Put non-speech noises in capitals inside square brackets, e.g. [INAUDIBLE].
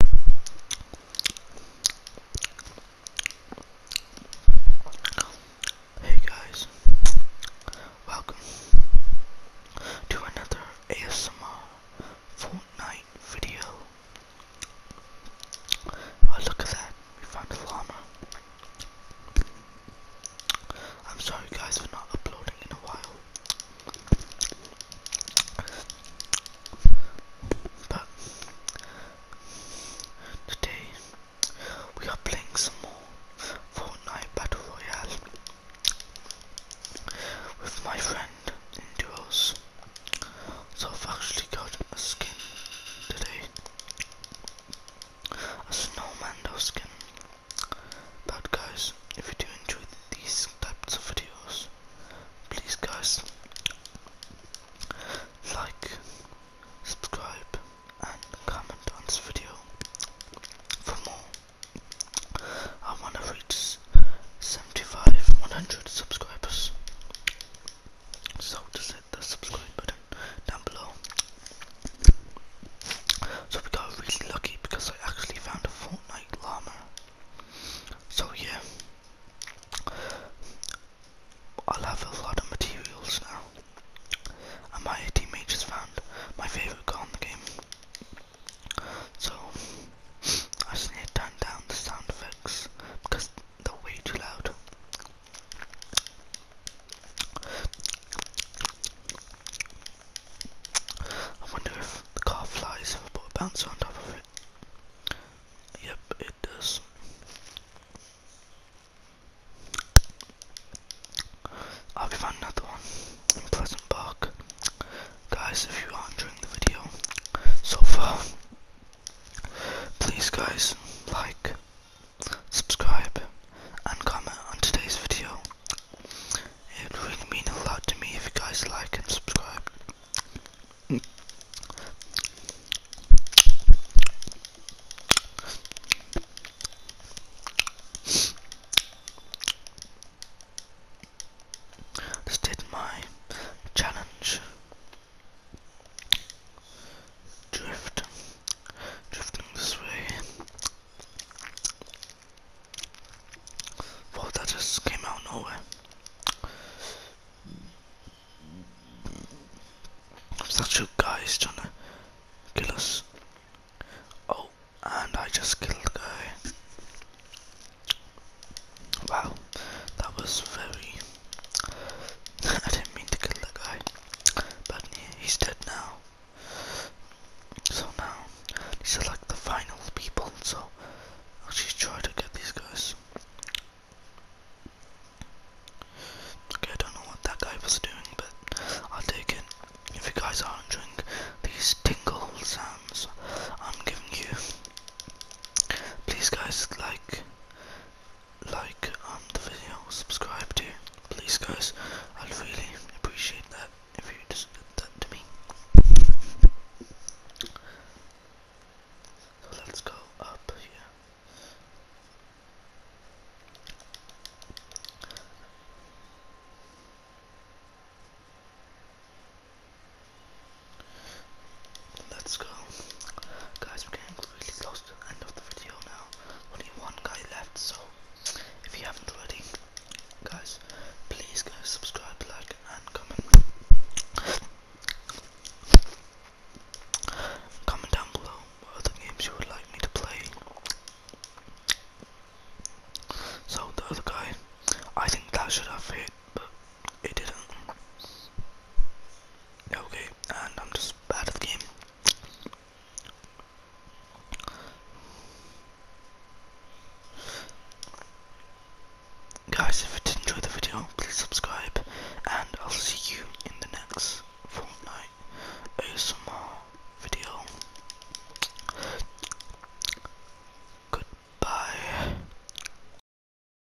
Hey guys, welcome to another ASMR Fortnite video. Oh look at that, we found a llama. I'm sorry guys we're not uploading in a while. But today we are playing some more Fortnite Battle Royale with my friend in duos. So I've actually got a skin today. A snowman skin. But guys if you do enjoy these types of videos please guys like subscribe and comment on this video for more I wanna reach 75 100 subscribers so just hit the subscribe button down below so we got really lucky because I actually found a Fortnite llama. So yeah, I'll have a lot of materials now. And my teammate just found my favorite gun in the game. So I just need to turn down the sound effects because they're way too loud. I wonder if the car flies if I put a bouncer on top of it. Yep, it does. I'll be finding another one in Pleasant Park. Guys, if you are enjoying the video so far, please guys, like, subscribe, and comment on today's video. It would mean a lot to me if you guys like and subscribe. Mm. did my challenge. Drift, drifting this way. Whoa, that just came out of nowhere. Such a guy is trying to kill us. Oh, and I just killed a guy. Wow, that was very... [LAUGHS] I didn't mean to kill the guy. But he's dead now. So now, select the final people, so I'll just try to get these guys. Okay, I don't know what that guy was doing, but I'll take it. If you guys are enjoying these tingle sounds I'm giving you, please guys like, like um, the video, subscribe too. Please guys, I'd really appreciate that if you just did that to me. let's go up here. Let's go. Guys, really close to the end of the video now. Only one guy left, so if you haven't already, guys, please guys subscribe, like, and comment. Comment down below what other games you would like me to play. So the other guy, I think that should have hit, it didn't. Okay, and I'm just bad at the game. Guys, if you did enjoy the video, please subscribe, and I'll see you in the next Fortnite ASMR video. Goodbye.